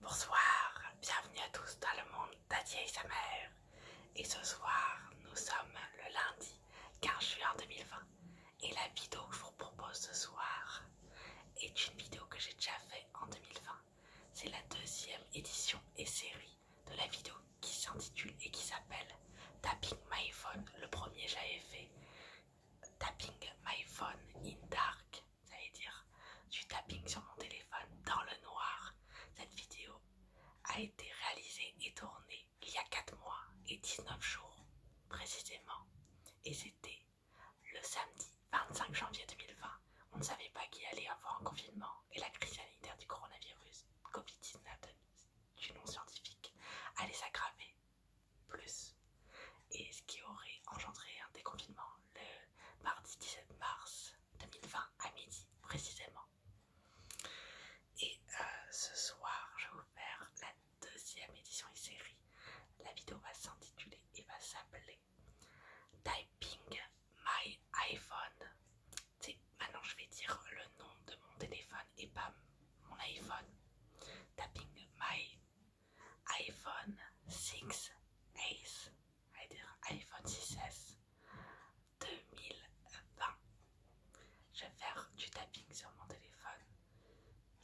Bonsoir, bienvenue à tous dans le monde d'Adier et sa mère. Et ce soir, nous sommes le lundi 15 juin 2020. Et la vidéo que je vous propose ce soir est une vidéo que j'ai déjà fait en 2020. C'est la deuxième édition et série de la vidéo qui s'intitule et qui s'appelle Tapping My Phone. Le premier j'avais fait Tapping My Phone in Dark veut dire, du tapping sur mon téléphone dans le noir. Cette vidéo a été réalisée et tournée il y a 4 mois et 19 jours précisément. Et c'était le samedi 25 janvier 2020. On ne savait pas qu'il allait avoir un confinement et la crise sanitaire du coronavirus Covid-19 du nom scientifique allait s'aggraver plus. Et ce qui aurait engendré un déconfinement le mardi 17 mars 2020 à midi précisément. Et euh, ce soir, je vais vous faire la deuxième édition et série. La vidéo va s'intituler et va s'appeler Typing My iPhone. Maintenant, je vais dire le nom de mon téléphone et pas mon iPhone. Tapping My iPhone 6 a iPhone 6S 2020. Je vais faire du tapping sur mon téléphone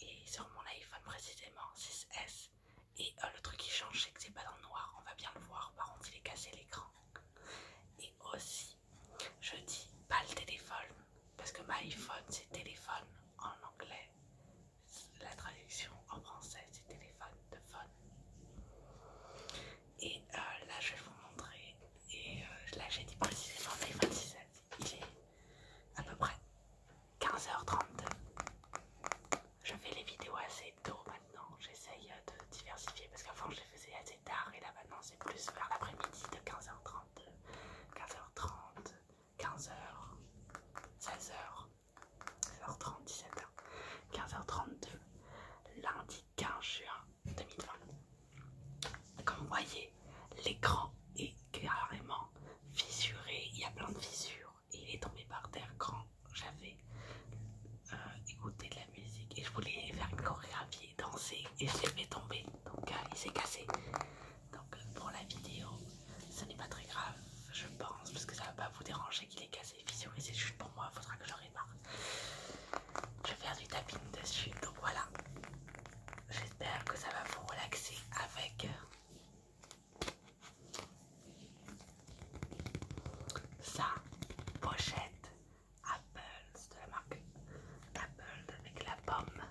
et sur mon iPhone précisément 6S. Et euh, le truc qui change, c'est que c'est pas dans le noir, on va bien le voir. Par contre, il est cassé l'écran. Et aussi, je dis pas le téléphone parce que ma iPhone c'est téléphone en anglais la traduction en français du téléphone de phone. Et euh, là je vais vous montrer, et euh, là j'ai dit précisément iPhone 6 il est à peu près 15h30. Je fais les vidéos assez tôt maintenant, j'essaye de diversifier parce qu'avant je les faisais assez tard et là maintenant c'est plus vers l'après-midi de 15h30, 15h30, 15h, 16h. 15 h 30 17h, 15h32, lundi 15 juin 2020. Comme vous voyez, l'écran est carrément fissuré, il y a plein de fissures et il est tombé par terre quand j'avais euh, écouté de la musique et je voulais faire une chorégraphie, danser et je l'ai fait tomber, donc euh, il s'est cassé. Donc euh, pour la vidéo, ce n'est pas très grave, je pense, parce que ça va pas vous déranger qu'il est cassé, visualisé c'est juste pour moi, il faudra que je répare. Je vais faire du tapping dessus, donc voilà. J'espère que ça va vous relaxer avec sa pochette Apples de la marque Apple avec la pomme.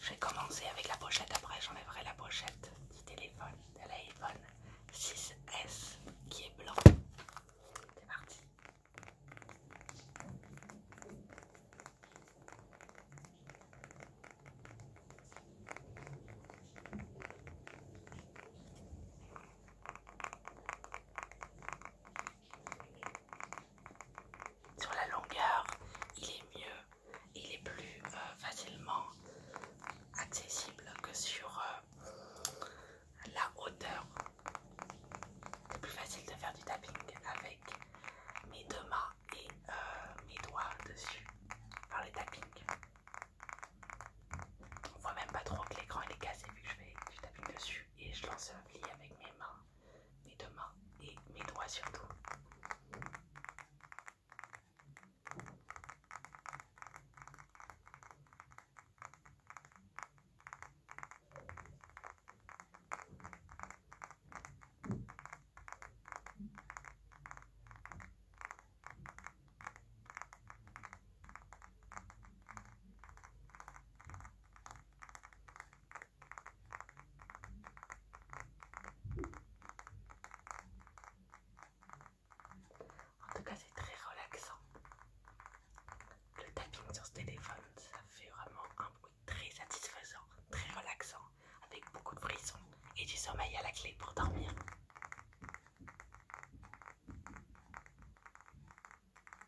Je vais commencer avec la pochette, après j'enlèverai la pochette du téléphone de l'iPhone 6S qui est blanc. C'est parti. Sur la longueur, il est mieux, il est plus euh, facilement accessible que sur euh, la hauteur. C'est plus facile de faire du tapping avec mes deux mains et euh, mes doigts dessus, par ne tapping. On voit même pas trop que l'écran est cassé vu que je fais du tapping dessus et je lance un pli avec mes mains, mes deux mains et mes doigts surtout. En tout cas, c'est très relaxant. Le tapping sur ce téléphone, ça fait vraiment un bruit très satisfaisant, très relaxant, avec beaucoup de frissons et du sommeil à la clé pour dormir.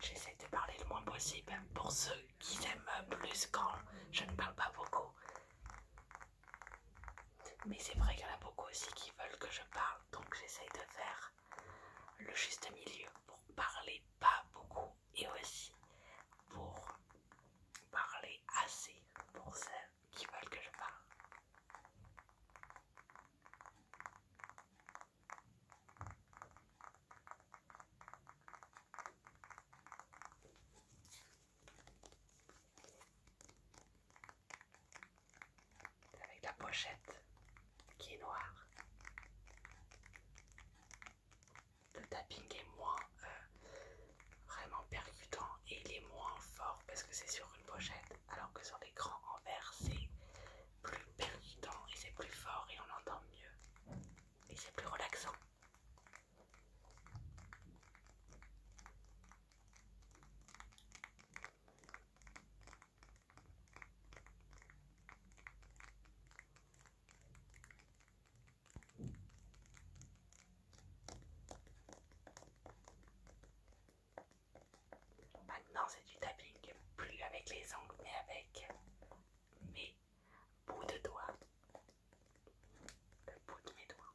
J'essaie de parler le moins possible pour ceux qui aiment plus quand je ne parle pas beaucoup. Mais c'est vrai qu'il y en a beaucoup aussi qui veulent que je parle, donc j'essaie de faire le juste milieu pour parler pas beaucoup et aussi pour parler assez pour ceux qui veulent que je parle. Avec la pochette qui est noire. Le tapping est moins euh, vraiment percutant et il est moins fort parce que c'est sur une pochette alors que sur l'écran en verre c'est plus percutant et c'est plus fort et on entend mieux et c'est plus relaxant. Maintenant, bah, c'est du tapping, plus avec les ongles, mais avec mes bouts de doigts. Le bout de mes doigts.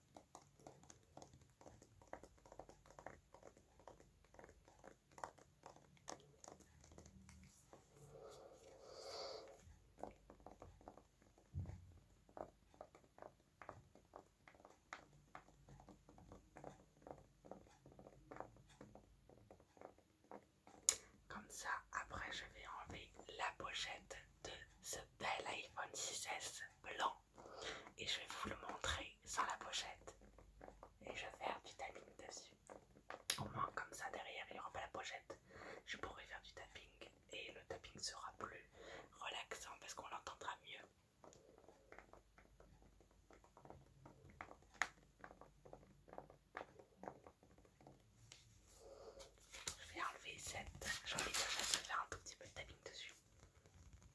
Comme ça, après je vais enlever la pochette de ce bel iPhone 6S blanc et je vais vous le montrer sans la pochette et je vais faire du tapping dessus. Au moins comme ça derrière il n'y aura pas la pochette, je pourrai faire du tapping et le tapping sera plus relaxant parce qu'on l'entendra mieux. Je vais enlever cette J'ai envie je faire un tout petit peu de tapping dessus.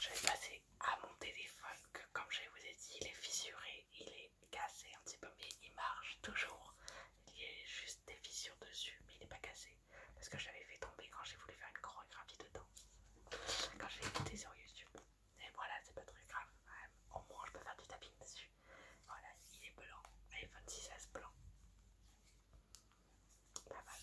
Je vais passer à mon téléphone que comme je vous ai dit il est fissuré, il est est cassé un petit peu, mais il marche toujours. Il y a juste des fissures dessus, mais il n'est pas cassé. Parce que je l'avais fait tomber quand j'ai voulu faire une chorégraphie dedans. Quand j'ai écouté sur YouTube. Et voilà, c'est pas très grave. Au moins, je peux faire du tapping dessus. Voilà, il est blanc. iPhone 6S blanc. Pas mal.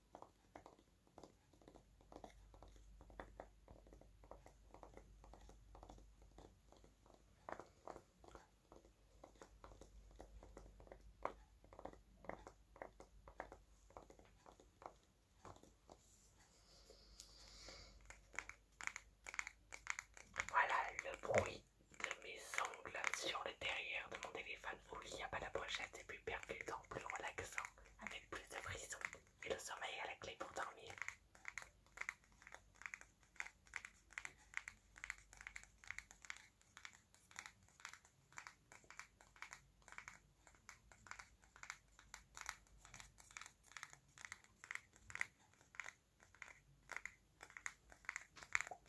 Voilà le bruit de mes ongles sur le derrière de mon téléphone où il a pas la pochette, c'est plus percutant, plus relaxant, avec plus de frissons. Et le sommeil à la clé pour dormir.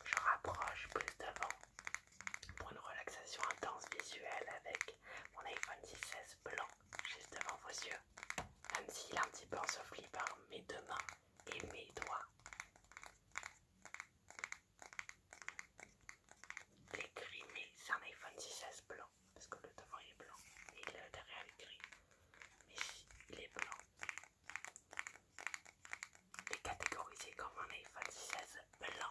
Je rapproche plus devant pour une relaxation intense visuelle avec mon iPhone 16 blanc, juste devant vos yeux. Même si est un petit peu par hein, mes deux mains et mes doigts. Les gris, mais c'est un iPhone 16 blanc. Parce que le devant est blanc et le derrière est gris. Mais il est blanc. Il est catégorisé comme un iPhone 16 blanc.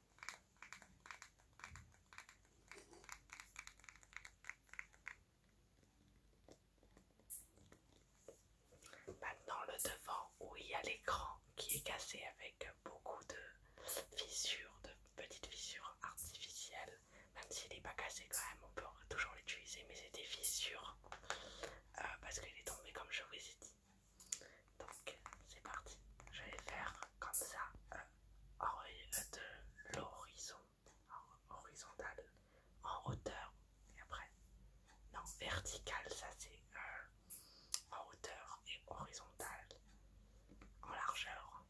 Maintenant bah, le devant où il y a l'écran qui est cassé avec beaucoup de fissures, de petites fissures artificielles. Même s'il n'est pas cassé quand même, on peut toujours l'utiliser, mais c'est des fissures euh, parce qu'il est tombé comme je vous ai dit. Donc c'est parti. Je vais faire comme ça euh, de l'horizon horizontal en hauteur et après non vertical ça c'est euh, en hauteur et horizontal en largeur.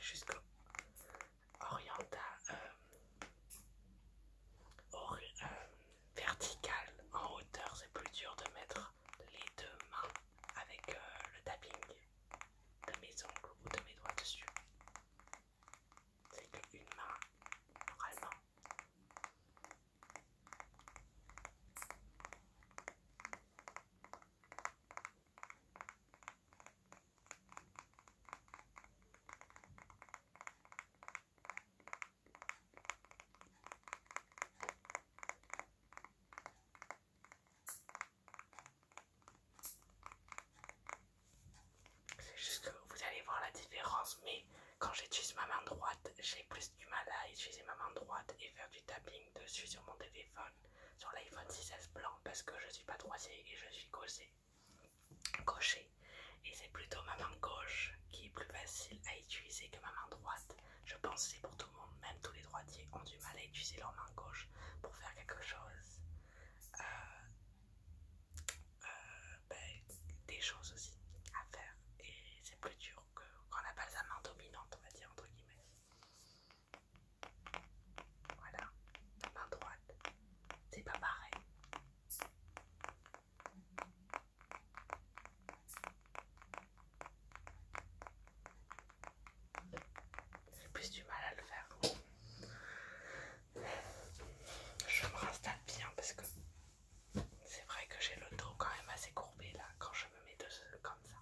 C'est jusqu'au Oriental euh, euh, vertical, en hauteur, c'est plus dur de mettre les deux mains avec euh, le tapping de mes ongles ou de mes doigts dessus. C'est qu'une main, normalement. C'est juste que vous allez voir la différence, mais quand j'utilise ma main droite, j'ai plus du mal à utiliser ma main droite et faire du tapping dessus sur mon téléphone sur l'iPhone 6S blanc parce que je suis pas droitier et je suis gaucher. Gaucher. Et c'est plutôt ma main gauche qui est plus facile à utiliser que ma main droite. Je pense que c'est pour tout le monde, même tous les droitiers ont du mal à utiliser leur main gauche pour faire quelque chose. Euh, euh, ben, des choses aussi à faire et c'est plus dur que quand on n'a pas sa main dominante on va dire entre guillemets voilà, la main droite, c'est pas pareil. J'ai plus du mal à le faire. Je me restate bien parce que c'est vrai que j'ai le dos quand même assez courbé là quand je me mets de, comme ça.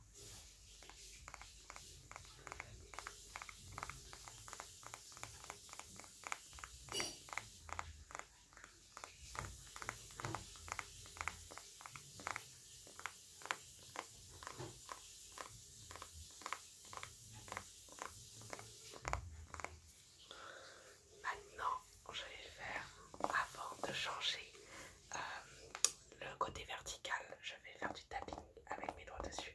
Maintenant, je vais faire, avant de changer euh, le côté vertical, je vais faire du tapping avec mes doigts dessus.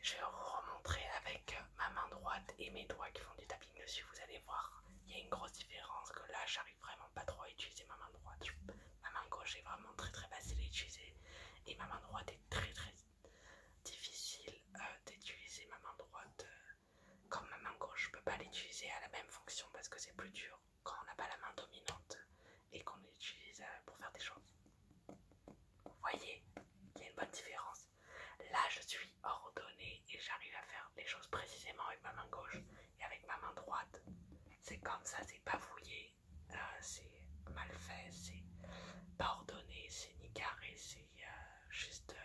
Je vais remontrer avec ma main droite et mes doigts qui font du tapping dessus. Vous allez voir, il y a une grosse différence que là, j'arrive vraiment pas trop à utiliser ma main droite. Ma main gauche est vraiment très très facile à utiliser et ma main droite est très très difficile euh, d'utiliser ma main droite. Euh, comme ma main gauche, je peux pas l'utiliser à la même fonction parce que c'est plus dur quand on n'a pas la main dominante et qu'on l'utilise euh, pour faire des choses. Vous voyez, il y a une bonne différence. Là, je suis ordonnée et j'arrive à faire les choses précisément avec ma main gauche et avec ma main droite. C'est comme ça, c'est pas vouillé, euh, c'est mal fait, c'est pas ordonné, c'est ni carré, c'est euh, juste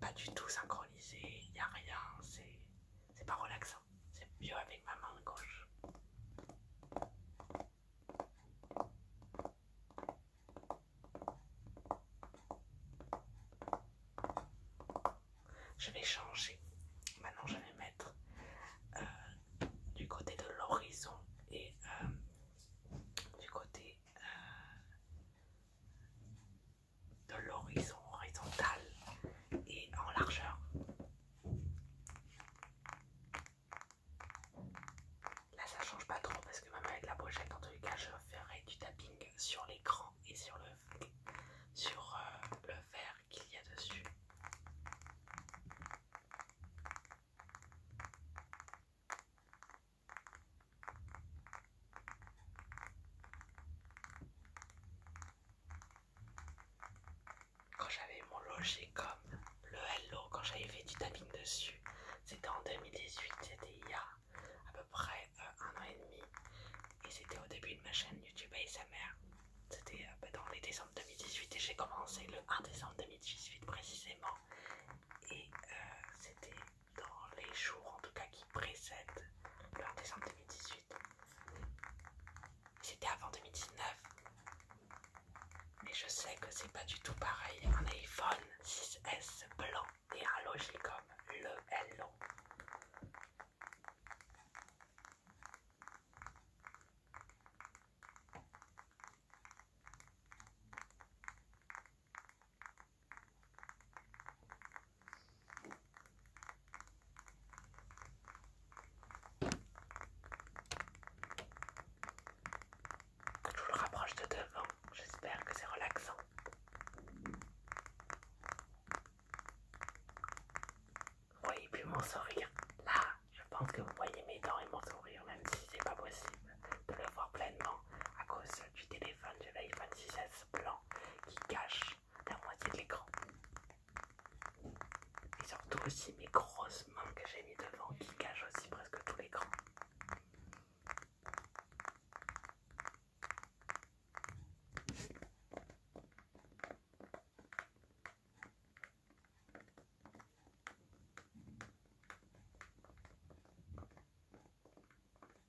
pas du tout synchronisé, il n'y a rien, c'est pas relaxant. C'est mieux avec ma main gauche. Je vais changer. Maintenant, je vais mettre euh, du côté de l'horizon et euh, du côté euh, de l'horizon horizontal et en largeur. Là ça change pas trop parce que même avec la pochette en tout cas je ferai du tapping sur l'écran et sur le, sur, euh, le verre qu'il y a dessus. Quand j'avais mon logé comme le Hello, quand j'avais fait du tapping dessus, c'était en 2018, c'était il y a à peu près euh, un an et demi, et c'était au début de ma chaîne YouTube ASMR. C'était euh, bah, dans les décembre 2018 et j'ai commencé le 1 décembre 2018 précisément. Et euh, c'était dans les jours en tout cas qui précèdent le 1 décembre 2018. C'était avant 2019. et je sais que c'est pas du tout pareil. Un iPhone 6S blanc et un Logicom le Hello. Je vous le rapproche de devant, j'espère que c'est relaxant. Vous voyez plus mon sourire. Là, je pense que vous voyez mes dents et mon sourire, même si c'est pas possible de le voir pleinement à cause du téléphone de l'iPhone 6S blanc qui cache la moitié de l'écran. Et surtout aussi mes grosses mains que j'ai mis devant qui cachent aussi presque tout l'écran.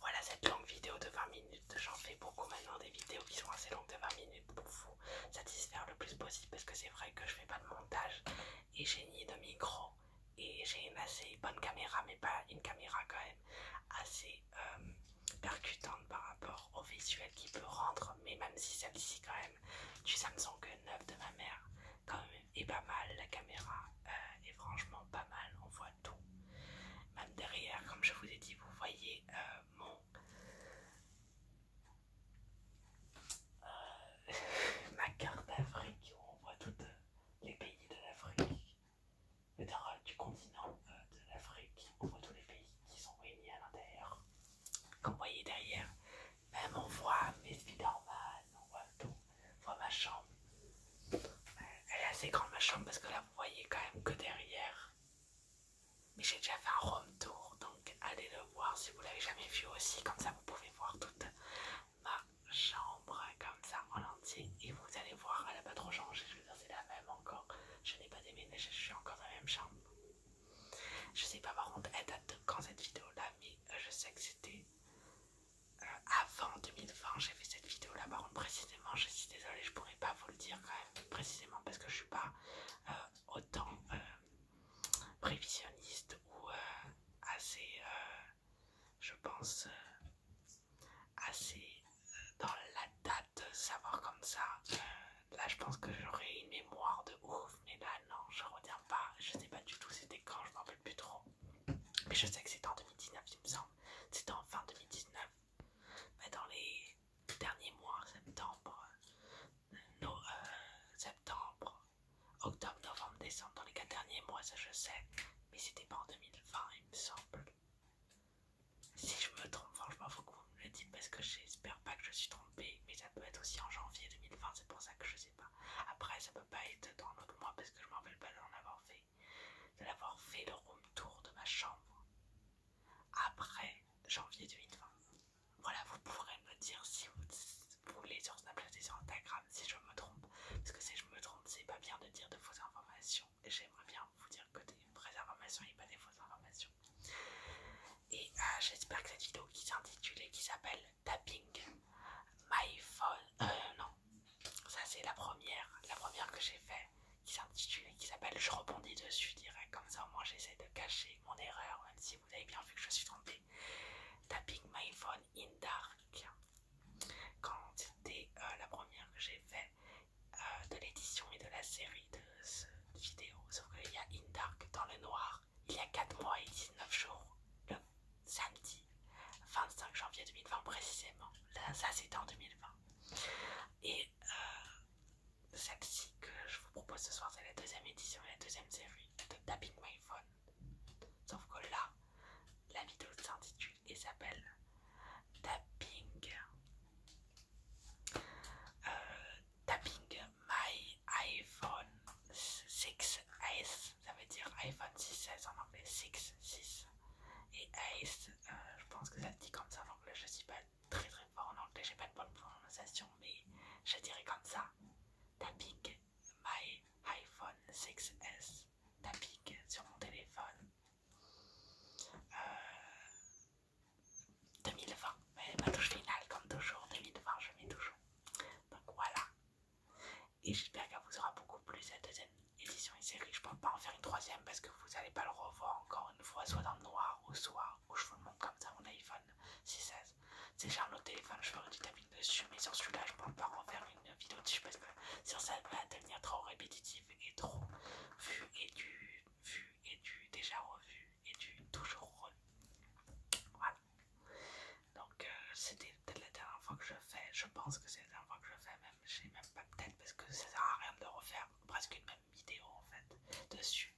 Voilà cette longue vidéo de 20 minutes. J'en fais beaucoup maintenant des vidéos qui sont assez longues de 20 minutes pour vous satisfaire le plus possible parce que c'est vrai que je fais pas de montage et j'ai ni de micro et j'ai une assez bonne caméra, mais pas une caméra quand même assez euh, percutante par rapport au visuel qui peut rendre. Mais même si celle-ci quand même du que neuf de ma mère quand même est pas mal, la caméra euh, est franchement pas mal, on voit tout. Même derrière, comme je vous ai dit, vous voyez euh, mon... ma carte d'Afrique où on voit tout les pays de l'Afrique, du continent euh, de l'Afrique, on voit tous les pays qui sont réunis à l'intérieur. Comme vous voyez derrière, même on voit mes spider on voit tout, on voit ma chambre. Euh, elle est assez grande ma chambre parce que là vous voyez quand même que derrière. Mais j'ai déjà fait un room tour donc allez le voir si vous l'avez jamais vu aussi, comme ça vous pouvez voir tout ma chambre comme ça en entier et vous allez voir, elle a pas trop changé, je veux dire c'est la même encore. Je n'ai pas déménagé, je suis encore dans la même chambre. Je sais pas par contre, elle date quand cette vidéo là, mais euh, je sais que c'était euh, avant 2020 j'ai fait cette vidéo là. Par contre précisément, je suis désolée, je pourrais pas vous le dire quand même précisément parce que je suis pas euh, autant prévisionniste ou assez je pense, euh, assez euh, dans la date, savoir comme ça. Euh, là, je pense que j'aurais une mémoire de ouf, mais là, non, je retiens pas. Je sais pas du tout c'était quand, je m'en rappelle plus trop. Mais je sais que c'était en 2019, il me semble. C'était en fin 2019. Mais dans les derniers mois, septembre, septembre, Octobre, novembre, décembre, dans les quatre derniers mois, ça je sais, mais c'était pas en 2020, il me semble. Si je me trompe, franchement, faut que vous me le dites parce que j'espère pas que je suis trompée, mais ça peut être aussi en janvier 2020, c'est pour ça que je sais pas. Après, ça peut pas être dans l'autre mois parce que je m'en rappelle pas d'en avoir fait, de l'avoir fait le room tour de ma chambre après janvier 2020. Voilà, vous pourrez me dire si vous vous les sur Snapchat et sur Instagram si je me trompe. Parce que si je me trompe, c'est pas bien de dire de fausses informations. Et j'aimerais bien vous dire que des vraies informations et pas des fausses informations. Et euh, j'espère que cette vidéo qui s'intitule et qui s'appelle Tapping My Phone. Euh, non, ça c'est la première, la première que j'ai fait qui s'intitule et qui s'appelle Je rebondis dessus dirais Comme ça, au moins, j'essaie de cacher mon erreur, même si vous avez bien vu que je suis trompée Tapping My Phone in Dark. Quand c'était euh, la première que j'ai fait euh, de l'édition et de la série de cette vidéo, sauf qu'il y a In Dark dans le noir, il y a 4 mois et 19 jours, le samedi 25 janvier 2020 précisément. ça c'était en 2020. Et euh, celle-ci que je vous propose ce soir, c'est la deuxième édition et la deuxième série de Tapping My Phone. Sauf que là, la vidéo s'intitule et s'appelle Tapping euh, Tapping My iPhone 6S, ça veut dire iPhone 6S en anglais, 6, 6 et Ace, euh, je pense que ça dit comme ça en anglais, je suis pas très très fort en anglais, j'ai pas de bonne prononciation, mais je dirais comme ça Tapping My iPhone 6S tapique sur mon téléphone 2020 euh, mais ma touche finale comme toujours 2020 je mets toujours donc voilà et j'espère qu'elle vous aura beaucoup plu cette deuxième édition et série je pense pas en faire une troisième parce que vous allez pas le revoir encore une fois soit dans le noir ou soit où je vous le montre comme ça mon iPhone 6 c'est genre le téléphone je ferai du dessus, mais sur celui-là, je ne pourrais pas refaire une vidéo dessus parce que ça va devenir trop répétitif et trop vu et du vu et du déjà revu et du toujours revu. Voilà. Donc, euh, c'était peut-être la dernière fois que je fais. Je pense que c'est la dernière fois que je fais, même. Je sais même pas, peut-être parce que ça sert à rien de refaire presque une même vidéo en fait dessus.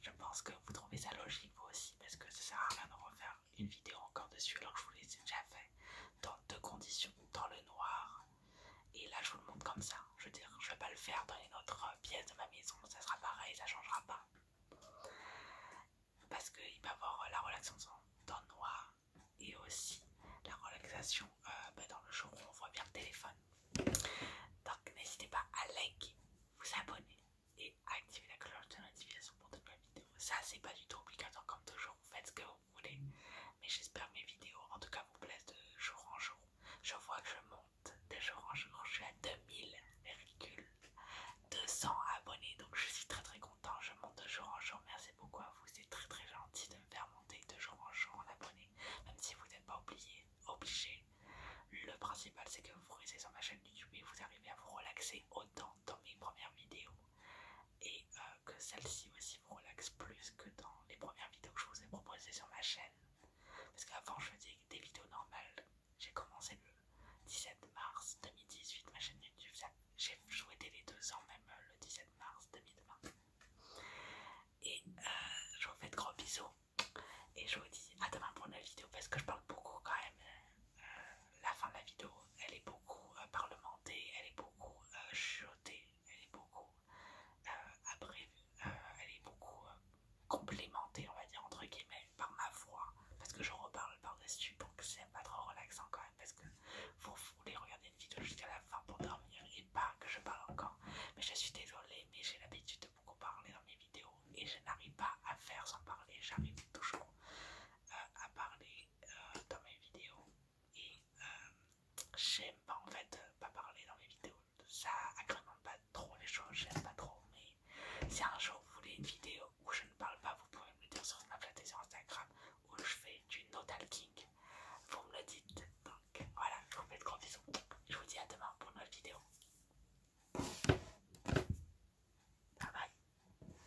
Je pense que vous trouvez ça logique vous aussi parce que ça sert à rien de refaire une vidéo encore dessus alors que je vous l'ai déjà fait dans deux conditions, dans le noir et là je vous le montre comme ça, je veux dire je vais pas le faire dans une autre euh, pièce de ma maison, ça sera pareil, ça changera pas parce qu'il va y avoir euh, la relaxation dans le noir et aussi la relaxation euh, bah, dans le jour où on voit bien le téléphone donc n'hésitez pas à liker, vous abonner et activer la cloche de notification pour de nouvelles vidéos. Ça, c'est pas du tout obligatoire comme toujours faites ce que vous voulez. Mais j'espère mes vidéos en tout cas vous plaisent de jour en jour. Je vois que je monte de jour en jour, je suis à 200 abonnés donc je suis très très content. Je monte de jour en jour, merci beaucoup à vous, c'est très très gentil de me faire monter de jour en jour en abonnés, même si vous n'êtes pas oublié, obligé. Le principal c'est que vous restez sur ma chaîne YouTube et vous arrivez à vous relaxer autant dans mes premières vidéos et euh, que celle-ci aussi vous relaxe plus que dans les premières vidéos que je vous ai proposées sur ma chaîne. Parce qu'avant je faisais des vidéos normales, j'ai commencé le 17 mars 2018 ma chaîne YouTube, j'ai joué les euh, deux ans même le 17 mars 2020. Et euh, je vous fais de gros bisous et je vous dis à demain pour une vidéo parce que je parle beaucoup quand même la fin de la vidéo, elle est beaucoup euh, parlementée, elle est beaucoup euh, chiotée, elle est beaucoup euh, abrévue, elle est beaucoup complémentée, on va dire, entre guillemets, par ma voix, parce que je reparle par-dessus, donc c'est pas trop relaxant quand même, parce que vous voulez regarder une vidéo jusqu'à la fin pour dormir et pas que je parle encore. Mais je suis désolée, mais j'ai l'habitude de beaucoup parler dans mes vidéos et je n'arrive pas à faire sans parler, j'arrive toujours à parler euh, dans mes vidéos et euh, j'aime pas en fait euh, pas parler dans mes vidéos. Ça agrémente pas trop les choses, j'aime pas trop. Mais si un jour vous voulez une vidéo où je ne parle pas, vous pouvez me le dire sur Snapchat et sur Instagram où je fais du no talking. Vous me le dites. Donc voilà, je vous fais de gros bisous. Je vous dis à demain pour une nouvelle vidéo. Bye bye.